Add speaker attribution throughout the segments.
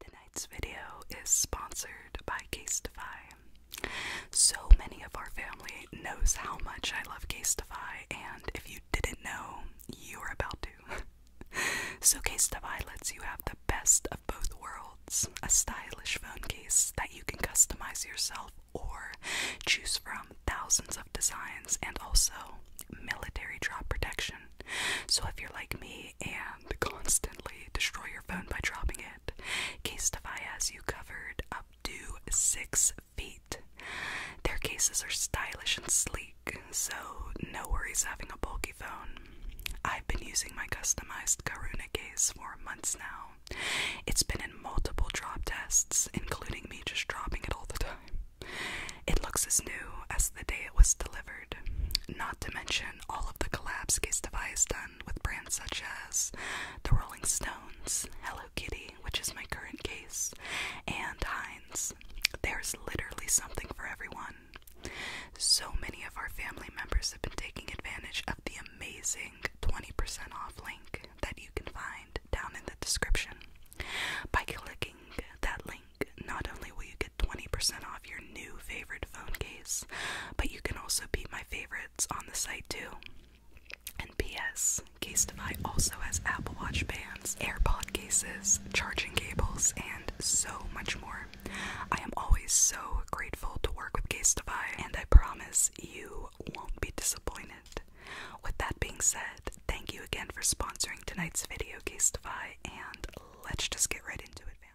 Speaker 1: Tonight's video is sponsored by Casetify. So many of our family knows how much I love Casetify, and if you didn't know, you're about to. so Casetify lets you have the best of both worlds, a stylish phone case that you can customize yourself or choose from thousands of designs and also military drop protection so if you're like me and constantly destroy your phone by dropping it, Casetify has you covered up to six feet. Their cases are stylish and sleek, so no worries having a bulky phone. I've been using my customized Karuna case for months now. It's been in multiple drop tests, including me just dropping it all the time. It looks as new as the day it was delivered. Not to mention, all of the collabs Gestify has done with brands such as the Rolling Stones, Hello Kitty, which is my current case, and Heinz. There's literally something for everyone. So many of our family members have been taking advantage of the amazing 20% off link that you can find down in the description. By clicking that link, not only will you get 20% off your new favorite phone case, but you can also be my favorites on the site too. And PS, Case also has Apple Watch bands, AirPod cases, charging cables, and so much more. I am always so grateful to work with Case and I promise you won't be disappointed. With that being said, thank you again for sponsoring tonight's video, Case and let's just get right into it, fam.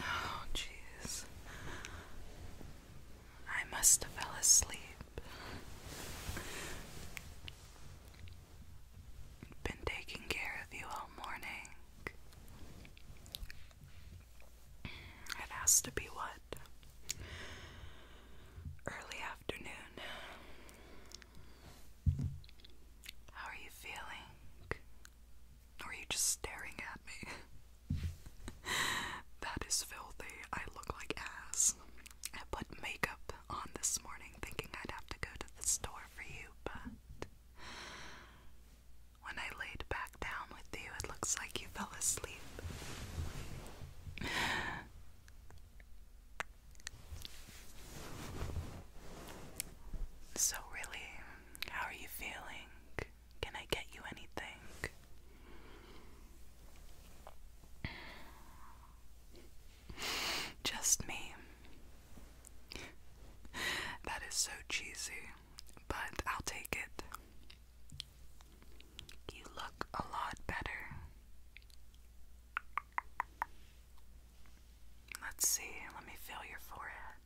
Speaker 1: Oh, jeez. I must have fell asleep. Been taking care of you all morning. It has to be what? Early afternoon. How are you feeling? are you just staring at me? that is filthy. I look like ass. I put makeup on this morning thinking I'd have to go to the store for you, but when I laid back down with you, it looks like you fell asleep. So, really, how are you feeling? Can I get you anything? Just me. That is so cheesy, but I'll take it. You look a lot better. Let's see, let me feel your forehead.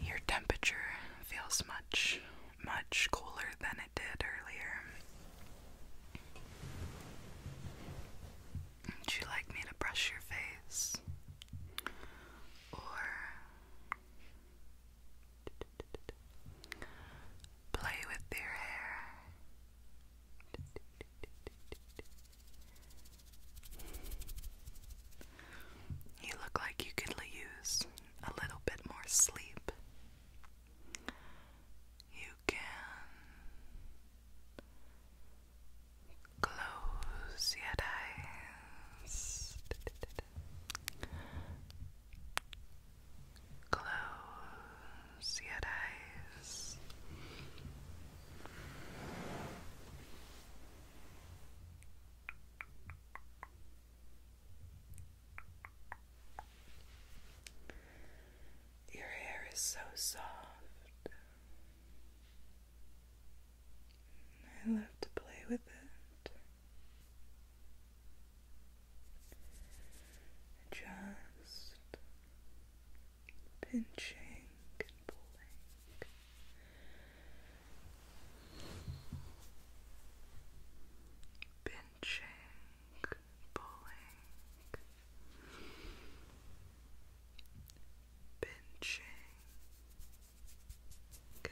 Speaker 1: Your temperature feels much, much cooler than it did earlier. Would you like me to brush your face? Or Play with your hair. You look like you could use a little bit more sleep. You can close your eyes. Close your eyes. Your hair is so soft. I love to play with it. Just pinching and pulling. Pinching, pulling, pinching,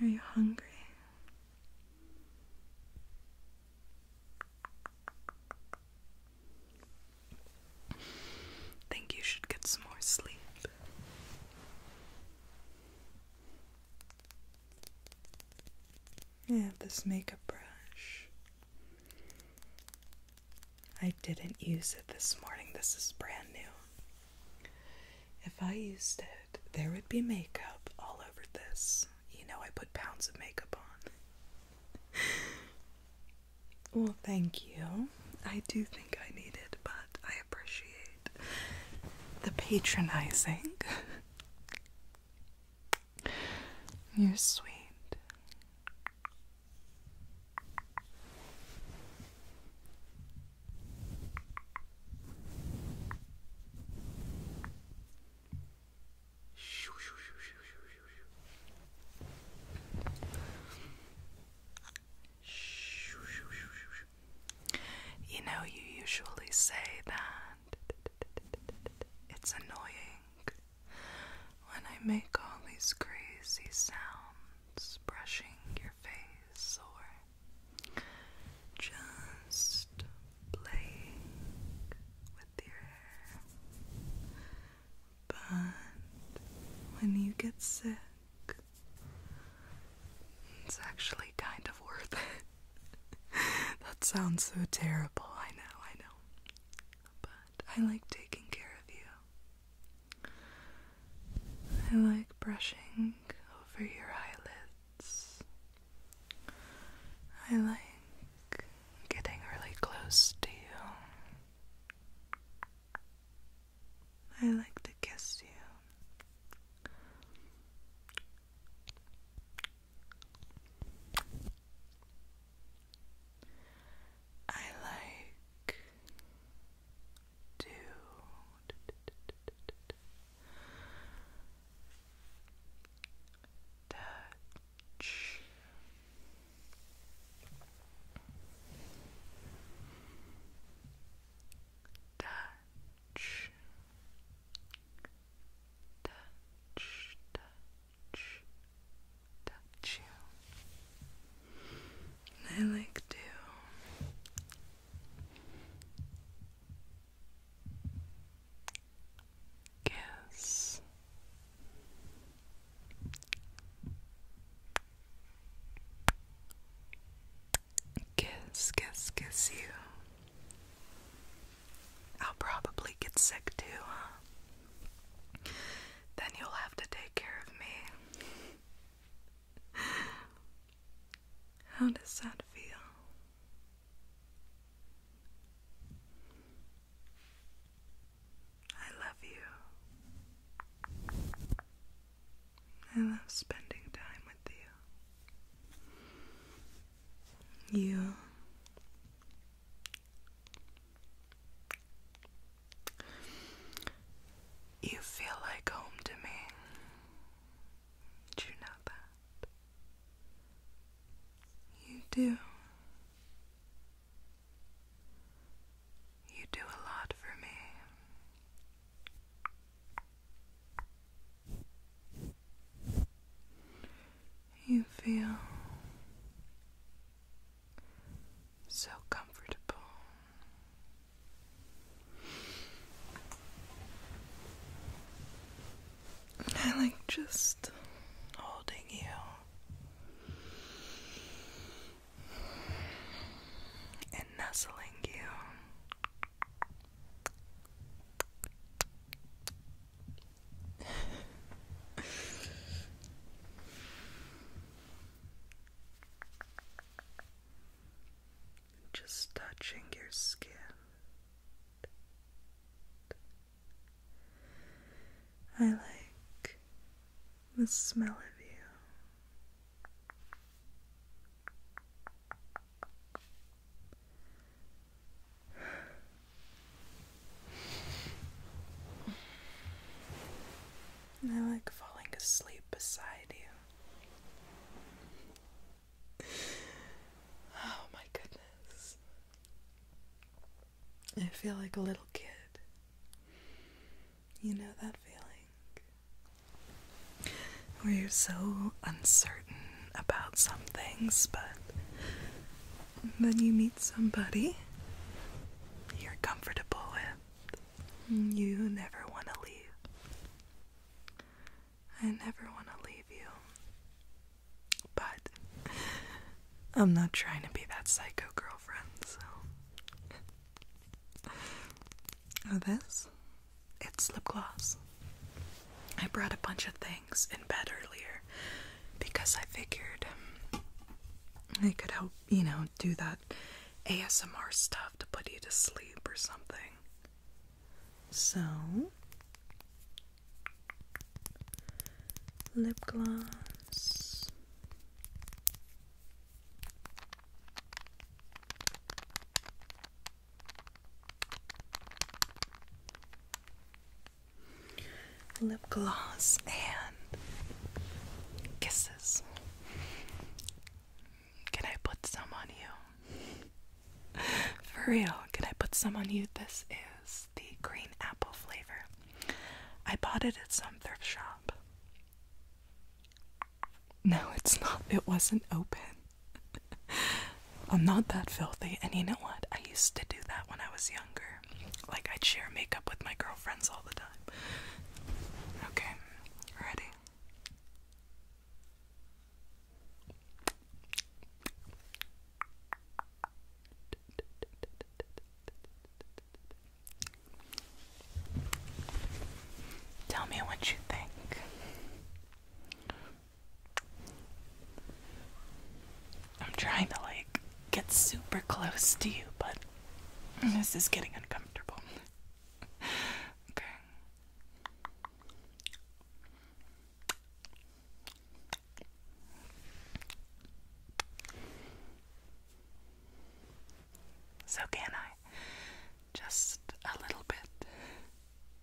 Speaker 1: Are you hungry? Think you should get some more sleep. I have this makeup brush. I didn't use it this morning. This is brand new. If I used it, there would be makeup all over this. You know, I put pounds of makeup on. well, thank you. I do think I need it, but I appreciate the patronizing. You're sweet. You know, you usually say that it's annoying when I make all these crazy sounds brushing your face or just playing with your hair. But when you get sick, it's actually kind of worth it. that sounds so terrible. I know, I know. But I like taking care of you. I like brushing over your eyelids. I like getting really close to you. I like to kiss you. I like to touch touch touch, touch, touch you. And I like to kiss. Kiss, Kiss, kiss, kiss you. I'll probably get sick too, Then you'll have to take care of me. How does that feel? I love you. I love spending time with you you you feel like home to me. Do you know that? You do. You do a lot for me. You feel so comfortable. I like just holding you and nestling you just touching your skin I like the smell of you I like falling asleep beside you. Oh my goodness. I feel like a little kid. You know that feeling? where you're so uncertain about some things, but then you meet somebody you're comfortable with, you never want to leave. I never want to leave you. But I'm not trying to be that psycho girlfriend, so. this? It's lip gloss. I brought a bunch of things in bed earlier because I figured I could help, you know, do that ASMR stuff to put you to sleep or something. So, lip gloss lip gloss and kisses. Can I put some on you? For real, can I put some on you? This is the green apple flavor. I bought it at some thrift shop. No, it's not. It wasn't open. I'm not that filthy, and you know what? I used to do that when I was younger. Like, I'd share makeup with my girlfriends all the time. Okay, ready? Tell me what you think. I'm trying to like get super close to you, but this is getting uncomfortable. okay. So, can I just a little bit?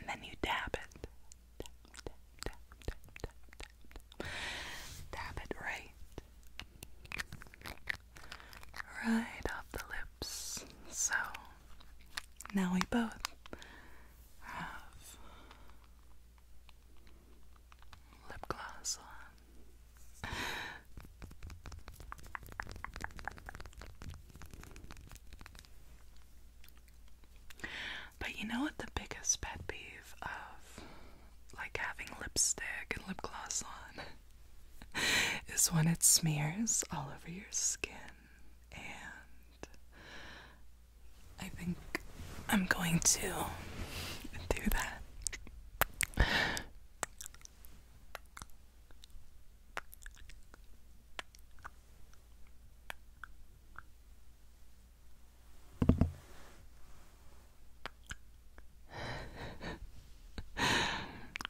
Speaker 1: And then you dab it. Dab, it right right off the lips. So now we both have lip gloss on. But you know what the biggest pet peeve of like having lipstick and lip gloss on is when it smears all over your skin. And I think I'm going to do that.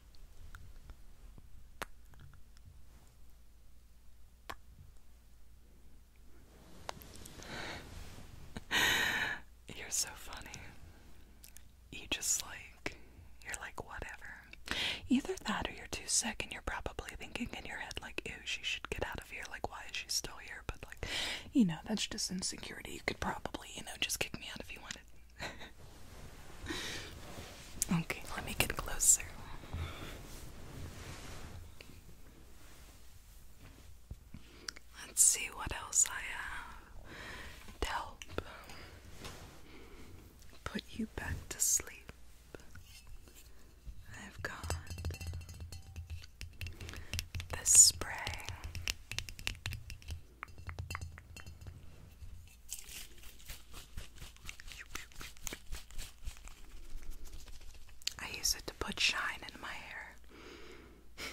Speaker 1: You're so funny. You just like, you're like, whatever. Either that or you're too sick and you're probably thinking in your head, like, "Ooh, she should get out of here. Like, why is she still here? But, like, you know, that's just insecurity. You could probably, you know, just kick me out if you wanted. okay, let me get closer. Let's see what else I have to put you back to sleep. I've got this spray. I use it to put shine in my hair.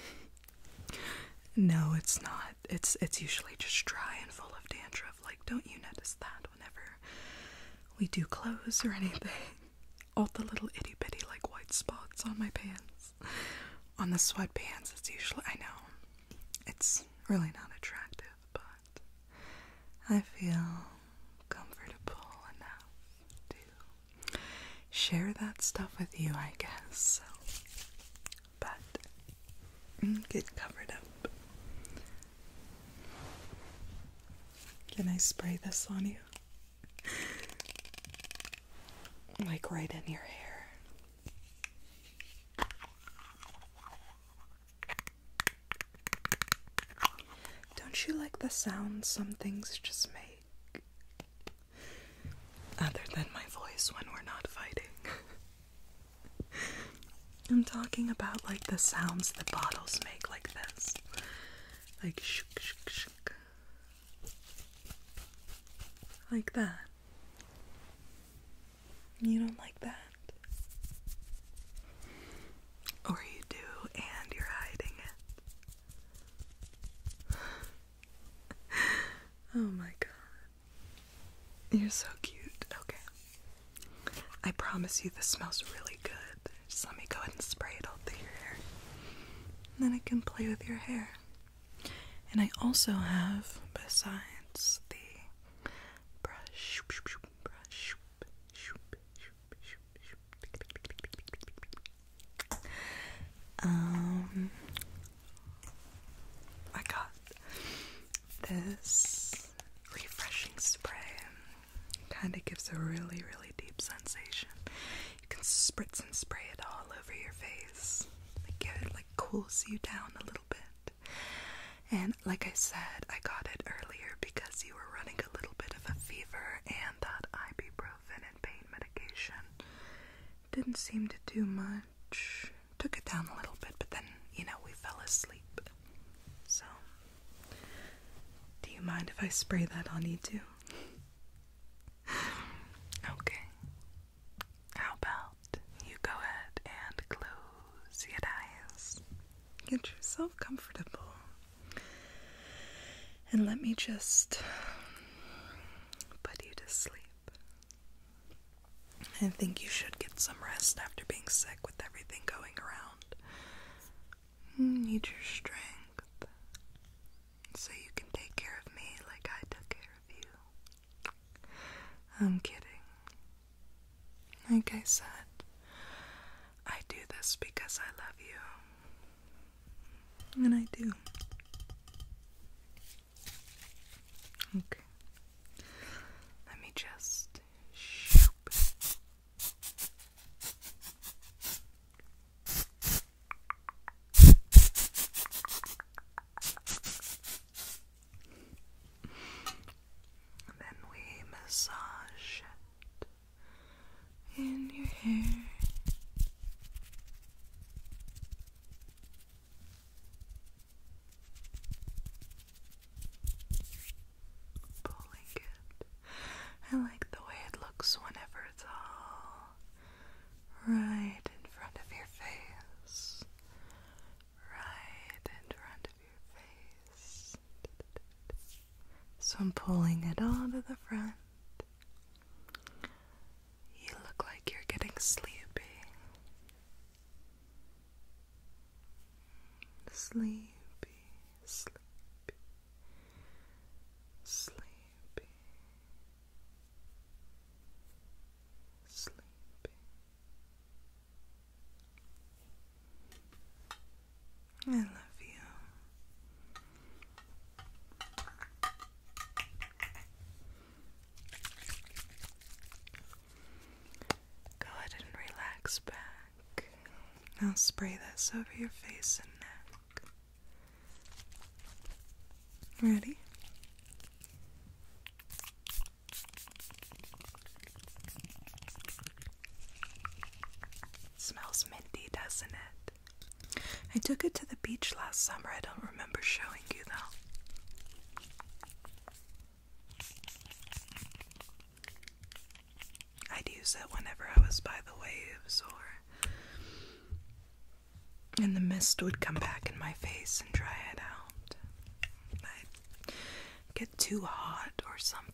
Speaker 1: no, it's not. It's it's usually just dry and full of dandruff. Like, don't you notice that whenever we do clothes or anything? All the little itty bitty like white spots on my pants. On the sweatpants, it's usually I know. It's really not attractive, but I feel comfortable enough to share that stuff with you, I guess. So, but mm, get covered up. Can I spray this on you? Like right in your hair. Don't you like the sounds some things just make? Other than my voice when we're not fighting. I'm talking about like the sounds the bottles make, like this. Like shuk shuk shuk, Like that. You don't like that? Or you do and you're hiding it. oh my god. You're so cute. Okay. I promise you this smells really good. Just let me go ahead and spray it all through your hair. then I can play with your hair. And I also have, besides the brush, um, I got this refreshing spray. Kind of gives a really, really deep sensation. You can spritz and spray it all over your face. give it cools you down a little bit. And like I said, I got it earlier because you were running a little bit of a fever, and that ibuprofen and pain medication didn't seem to do much. Took it down a little bit, but then, you know, we fell asleep. So, do you mind if I spray that on you too? okay. How about you go ahead and close your eyes? Get yourself comfortable. And let me just put you to sleep. I think you should get some rest after being sick with everything going around. Mm, need your strength so you can take care of me like I took care of you. I'm kidding. Like I said, I do this because I love you. And I do. Okay. Let me just then we massage it in your hair. Pulling it. I like the way it looks whenever it's all right in front of your face right in front of your face. So I'm pulling it all to the front. You look like you're getting sleepy. Sleepy, sleepy, sleepy, sleepy, I love you. Go ahead and relax back. I'll spray this over your face and neck. Ready? Smells minty, doesn't it? I took it to the beach last summer. I don't remember showing you though. I'd use it whenever I was by the waves or and the mist would come back in my face and dry it out. I'd get too hot or something.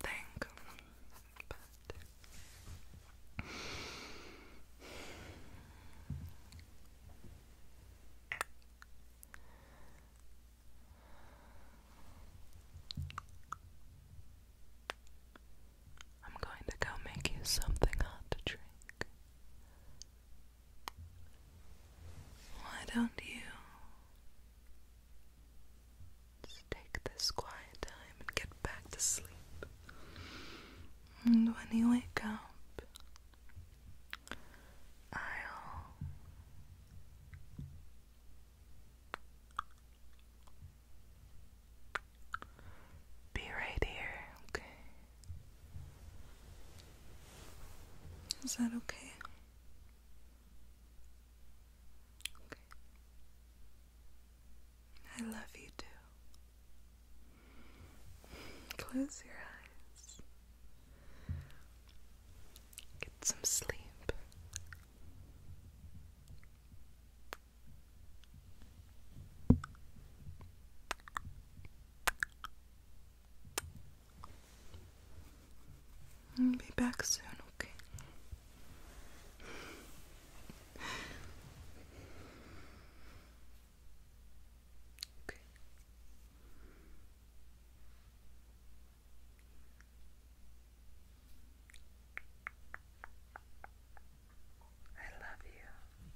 Speaker 1: I'm going to go make you something hot to drink. Why don't you just take this quiet time and get back to sleep? And when you wake up, I'll be right here, okay? Is that okay? Okay. I love you too. Close your eyes. Get some sleep. I'll be back soon, okay? Okay. I love you.